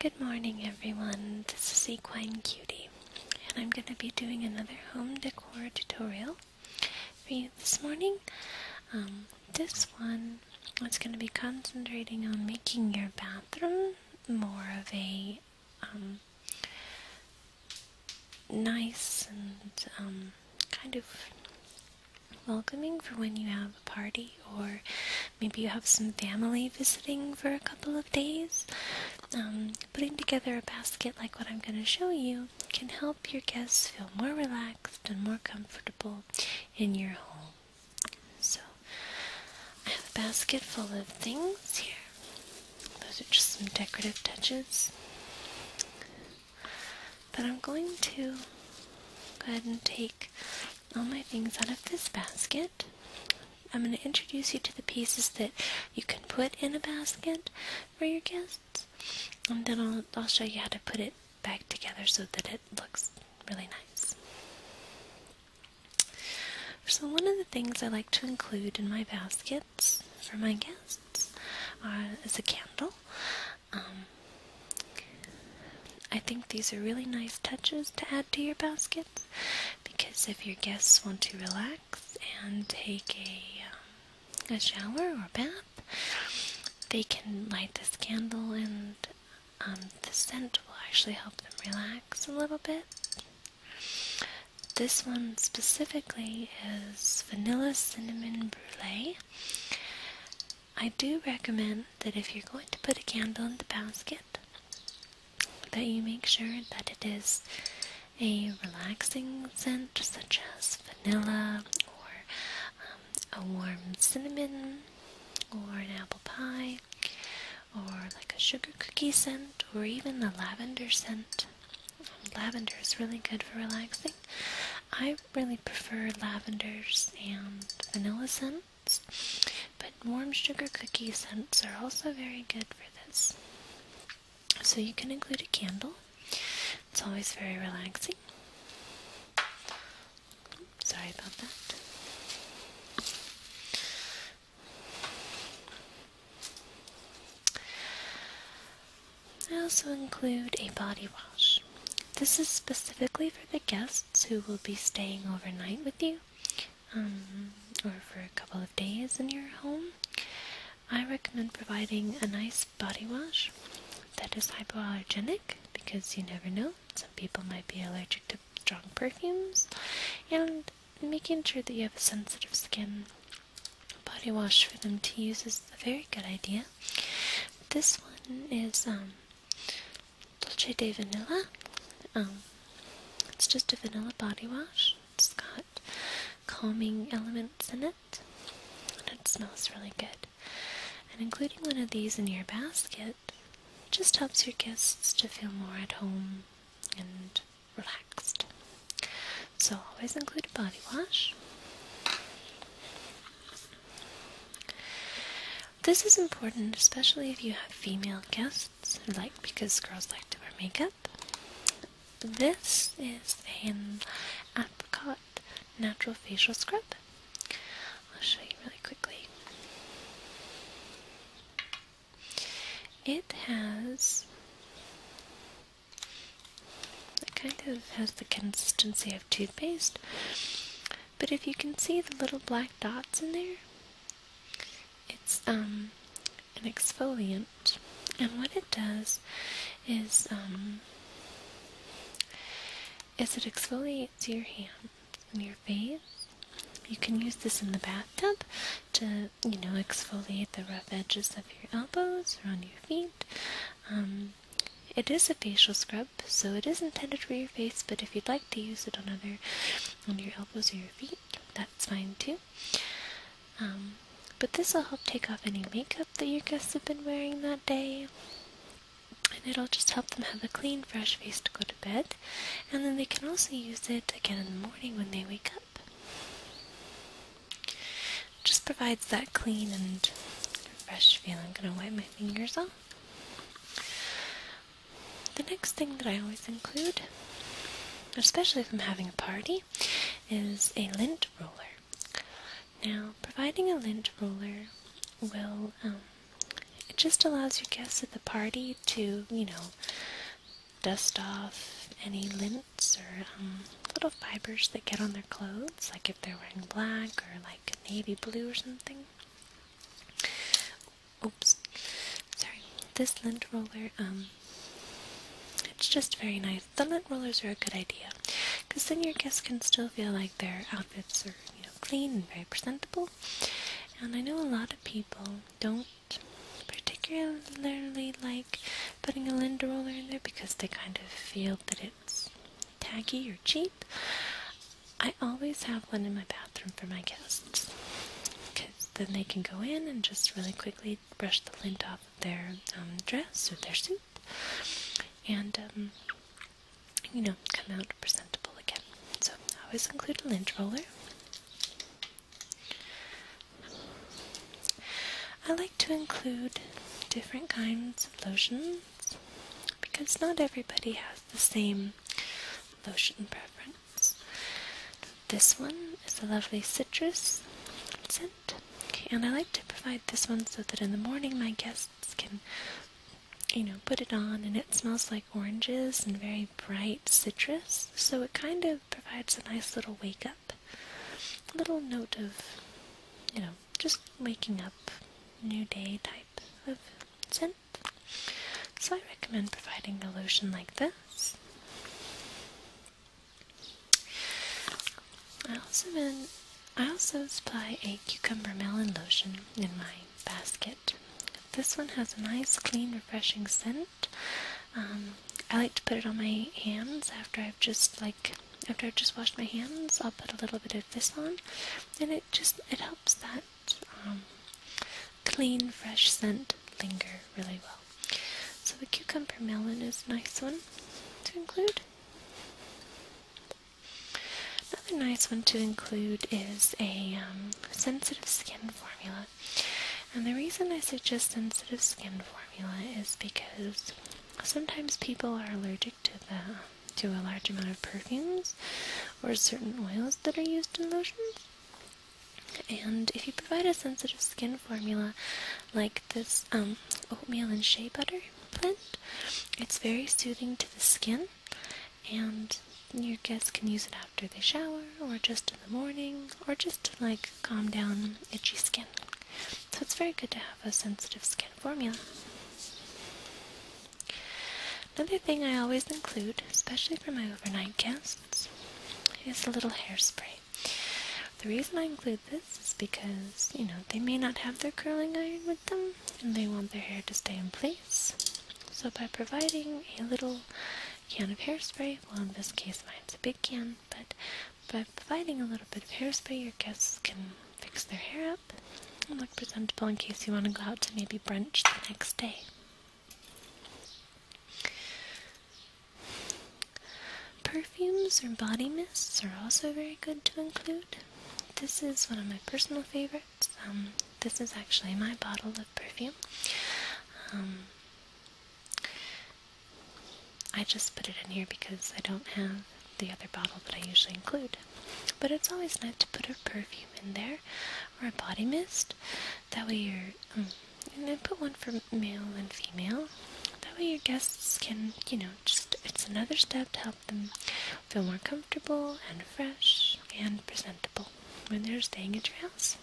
Good morning, everyone. This is Equine Cutie, and I'm going to be doing another home decor tutorial for you this morning. Um, this one is going to be concentrating on making your bathroom more of a um, nice and um, kind of welcoming for when you have a party or maybe you have some family visiting for a couple of days. Um, putting together a basket like what I'm going to show you can help your guests feel more relaxed and more comfortable in your home. So, I have a basket full of things here. Those are just some decorative touches. But I'm going to go ahead and take all my things out of this basket. I'm going to introduce you to the pieces that you can put in a basket for your guests, and then I'll, I'll show you how to put it back together so that it looks really nice. So, one of the things I like to include in my baskets for my guests is a candle. Um, I think these are really nice touches to add to your baskets because if your guests want to relax and take a, um, a shower or bath, they can light this candle and um, the scent will actually help them relax a little bit. This one specifically is vanilla cinnamon brulee. I do recommend that if you're going to put a candle in the basket, that you make sure that it is a relaxing scent such as vanilla or um, a warm cinnamon or an apple pie or like a sugar cookie scent or even a lavender scent. Um, lavender is really good for relaxing. I really prefer lavenders and vanilla scent but warm sugar cookie scents um, are also very good for this. So you can include a candle, it's always very relaxing. sorry about that. I also include a body wash. This is specifically for the guest who will be staying overnight with you um, or for a couple of days in your home. I recommend providing a nice body wash that is hypoallergenic because you never know, some people might be allergic to strong perfumes, and making sure that you have a sensitive skin. Body wash for them to use is a very good idea. This one is um, Dolce de Vanilla. Um, it's just a vanilla body wash. It's got calming elements in it, and it smells really good. And including one of these in your basket just helps your guests to feel more at home and relaxed. So always include a body wash. This is important, especially if you have female guests, like because girls like to wear makeup. This is an apricot natural facial scrub. I'll show you really quickly. It has it kind of has the consistency of toothpaste, but if you can see the little black dots in there, it's um an exfoliant. And what it does is um is it exfoliates your hands and your face. You can use this in the bathtub to, you know, exfoliate the rough edges of your elbows or on your feet. Um, it is a facial scrub, so it is intended for your face, but if you'd like to use it on other on your elbows or your feet, that's fine too. Um, but this will help take off any makeup that your guests have been wearing that day. And it'll just help them have a clean, fresh face to go to bed. And then they can also use it again in the morning when they wake up. Just provides that clean and fresh feel. I'm going to wipe my fingers off. The next thing that I always include, especially if I'm having a party, is a lint roller. Now, providing a lint roller will, um, it just allows your guests at the party to, you know, dust off any lints or um, little fibers that get on their clothes, like if they're wearing black or like navy blue or something. Oops, sorry. This lint roller, um, it's just very nice. The lint rollers are a good idea because then your guests can still feel like their outfits are you know clean and very presentable. And I know a lot of people don't particularly like putting a lint roller in there because they kind of feel that it's Taggy or cheap. I always have one in my bathroom for my guests because then they can go in and just really quickly brush the lint off their um, dress or their suit and, um, you know, come out presentable again. So I always include a lint roller. I like to include different kinds of lotion because not everybody has the same lotion preference. This one is a lovely citrus scent, and I like to provide this one so that in the morning my guests can, you know, put it on and it smells like oranges and very bright citrus, so it kind of provides a nice little wake up, little note of, you know, just waking up, new day type of scent. So I recommend providing a lotion like this. I also I also supply a cucumber melon lotion in my basket. This one has a nice, clean, refreshing scent. Um, I like to put it on my hands after I've just like after I've just washed my hands, I'll put a little bit of this on, and it just it helps that um, clean, fresh scent linger really well. So the cucumber melon is a nice one to include. Another nice one to include is a um, sensitive skin formula. And the reason I suggest sensitive skin formula is because sometimes people are allergic to the to a large amount of perfumes or certain oils that are used in lotions. And if you provide a sensitive skin formula like this um, oatmeal and shea butter blend, it's very soothing to the skin, and your guests can use it after they shower, or just in the morning, or just to like calm down itchy skin. So it's very good to have a sensitive skin formula. Another thing I always include, especially for my overnight guests, is a little hairspray. The reason I include this is because, you know, they may not have their curling iron with them and they want their hair to stay in place. So by providing a little can of hairspray, well in this case mine's a big can, but by providing a little bit of hairspray your guests can fix their hair up and look presentable in case you want to go out to maybe brunch the next day. Perfumes or body mists are also very good to include. This is one of my personal favorites. Um, this is actually my bottle of perfume. Um, I just put it in here because I don't have the other bottle that I usually include. But it's always nice to put a perfume in there or a body mist. That way you're, um, and then put one for male and female. That way your guests can, you know, just, it's another step to help them feel more comfortable and fresh and presentable when they're staying at your house.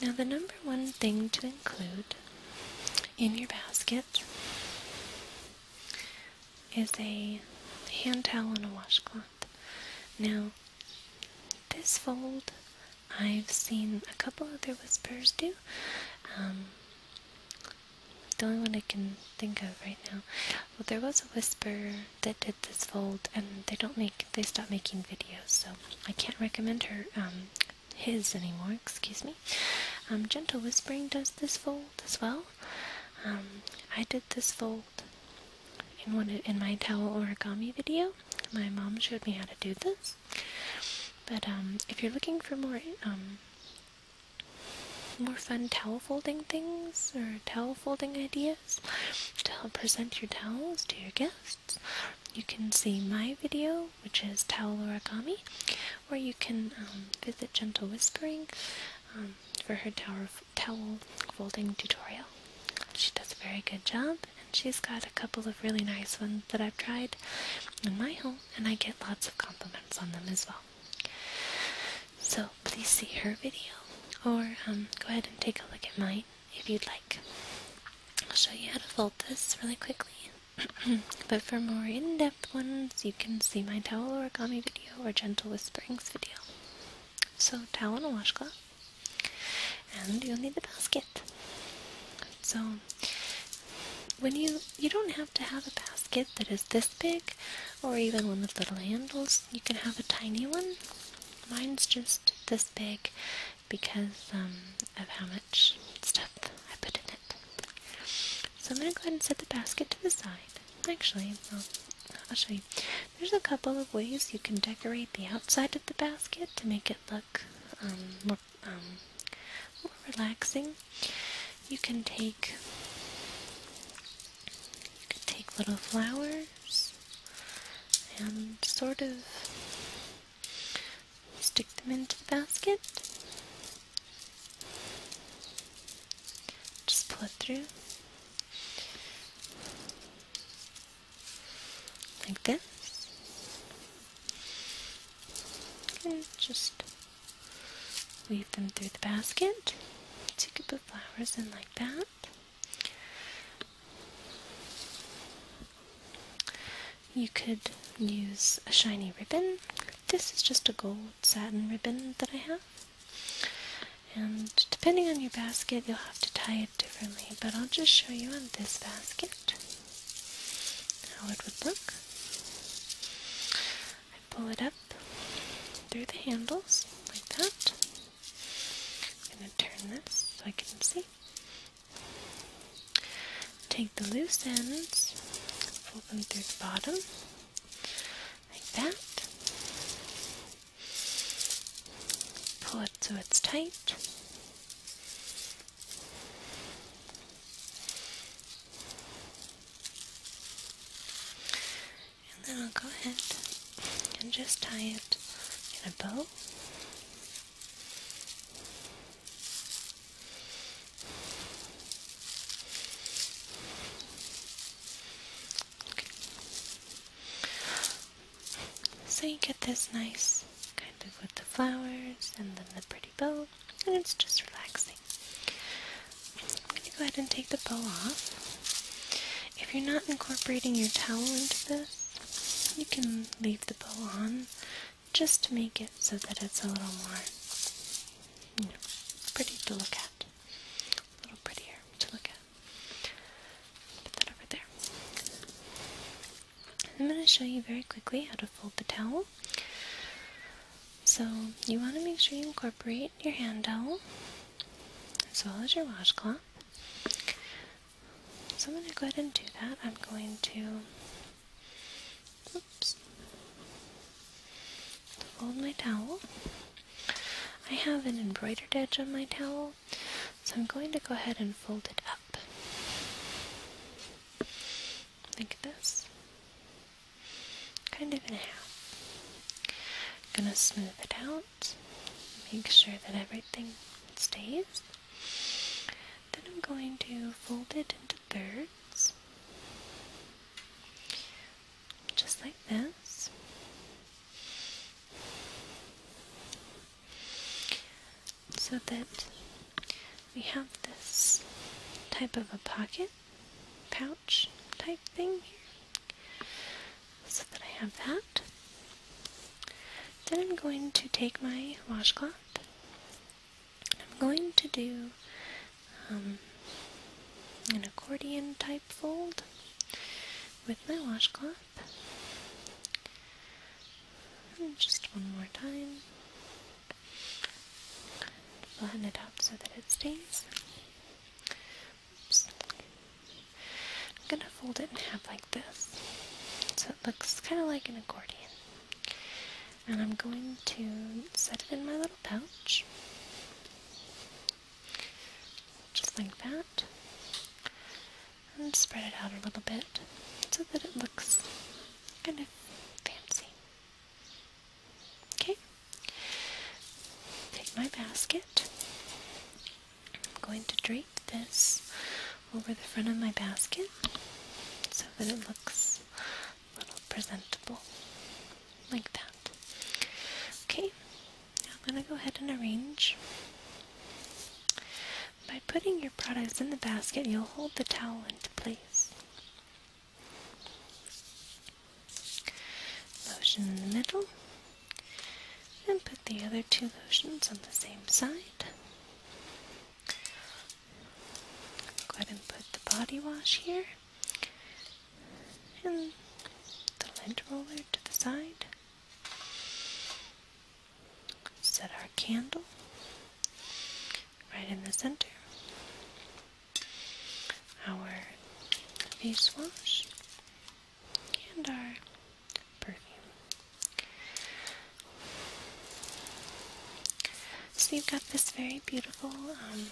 Now, the number one thing to include in your basket is a hand towel and a washcloth. Now, this fold I've seen a couple other whispers do. Um, the only one I can think of right now. Well, there was a whisper that did this fold, and they don't make they stopped making videos, so I can't recommend her um, his anymore, excuse me. Um, gentle Whispering does this fold as well. Um, I did this fold in one in my towel origami video. My mom showed me how to do this. But um, if you're looking for more more fun towel folding things or towel folding ideas to help present your towels to your guests, you can see my video which is Towel Origami, where you can um, visit Gentle Whispering um, for her towel, towel folding tutorial. She does a very good job, and she's got a couple of really nice ones that I've tried in my home, and I get lots of compliments on them as well. So please see her video, or um, go ahead and take a look at mine if you'd like. I'll show you how to fold this really quickly. but for more in depth ones, you can see my towel origami video or gentle whisperings video. So, towel and washcloth, and you'll need the basket. So, when you you don't have to have a basket that is this big, or even one with little handles. You can have a tiny one. Mine's just this big because um, of how much stuff I put in it. So I'm going to go ahead and set the basket to the side. Actually, well, I'll show you. There's a couple of ways you can decorate the outside of the basket to make it look um, more, um, more relaxing. You can take you can take little flowers and sort of Stick them into the basket. Just pull it through. Like this. Okay, just weave them through the basket. So you could put flowers in like that. You could use a shiny ribbon. This is just a gold satin ribbon that I have. And depending on your basket, you'll have to tie it differently, but I'll just show you on this basket how it would look. I pull it up through the handles like that. I'm going to turn this so I can see. Take the loose ends, pull them through the bottom, like that. Pull it so it's tight. And then I'll go ahead and just tie it in a bow. So you get this nice kind of with the flowers and then the pretty bow, and it's just relaxing. I'm going to go ahead and take the bow off. If you're not incorporating your towel into this, you can leave the bow on just to make it so that it's a little more pretty to look at. A little prettier to look at. Put that over there. I'm going to show you very quickly how to fold the towel. So, you want to make sure you incorporate your hand towel as well as your washcloth. So I'm going to go ahead and do that. I'm going to, oops, fold my towel. I have an embroidered edge on my towel, so I'm going to go ahead and fold it up. Like this. Kind of in half. I'm gonna smooth it out, make sure that everything stays. Then I'm going to fold it into thirds, just like this. So that we have this type of a pocket pouch type thing So that I have that. Then I'm going to take my washcloth I'm going to do um, an accordion type fold with my washcloth. just one more time. Flatten it up so that it stays. I'm gonna fold it in half like this. So it looks kind of like an accordion. And I'm going to set it in my little pouch. Just like that. And spread it out a little bit so that it looks kind of fancy. Okay. Take my basket. I'm going to drink this over the front of my basket so that it looks a little presentable, like that. Okay, now I'm going to go ahead and arrange. By putting your products in the basket, you'll hold the towel into place. Lotion in the middle, and put the other two lotions on the same side. Go ahead and put the body wash here and the lint roller to the side. Set our candle right in the center. Our face wash and our perfume. So you've got this very beautiful um,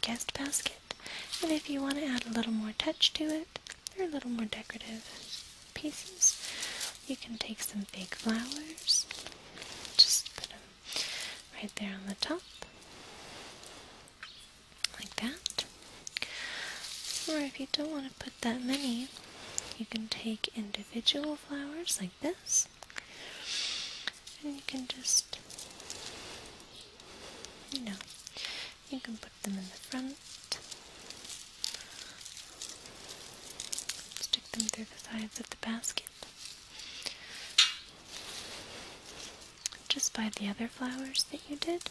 guest basket, and if you want to add a little more touch to it, or a little more decorative pieces, you can take some fake flowers, just put them right there on the top, like that. Or if you don't want to put that many, you can take individual flowers like this. And you can just, you know, you can put them in the front, stick them through the sides of the basket. Just by the other flowers that you did,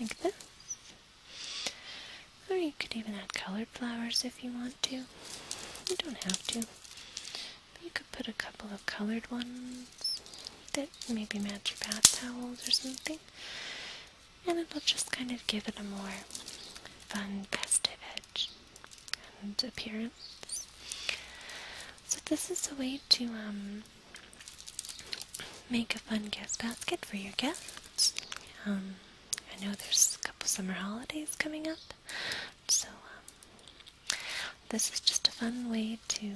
like this. Or you could even add colored flowers if you want to. You don't have to. But you could put a couple of colored ones that maybe match your bath towels or something. And it'll just kind of give it a more fun, festive edge and appearance. So this is a way to um, make a fun guest basket for your guests. Um, I know there's a couple summer holidays coming up, so um, this is just a fun way to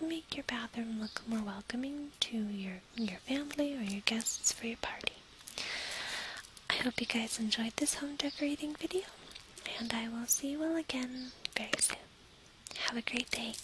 make your bathroom look more welcoming to your your family or your guests for your party. I hope you guys enjoyed this home decorating video, and I will see you all again very soon. Have a great day.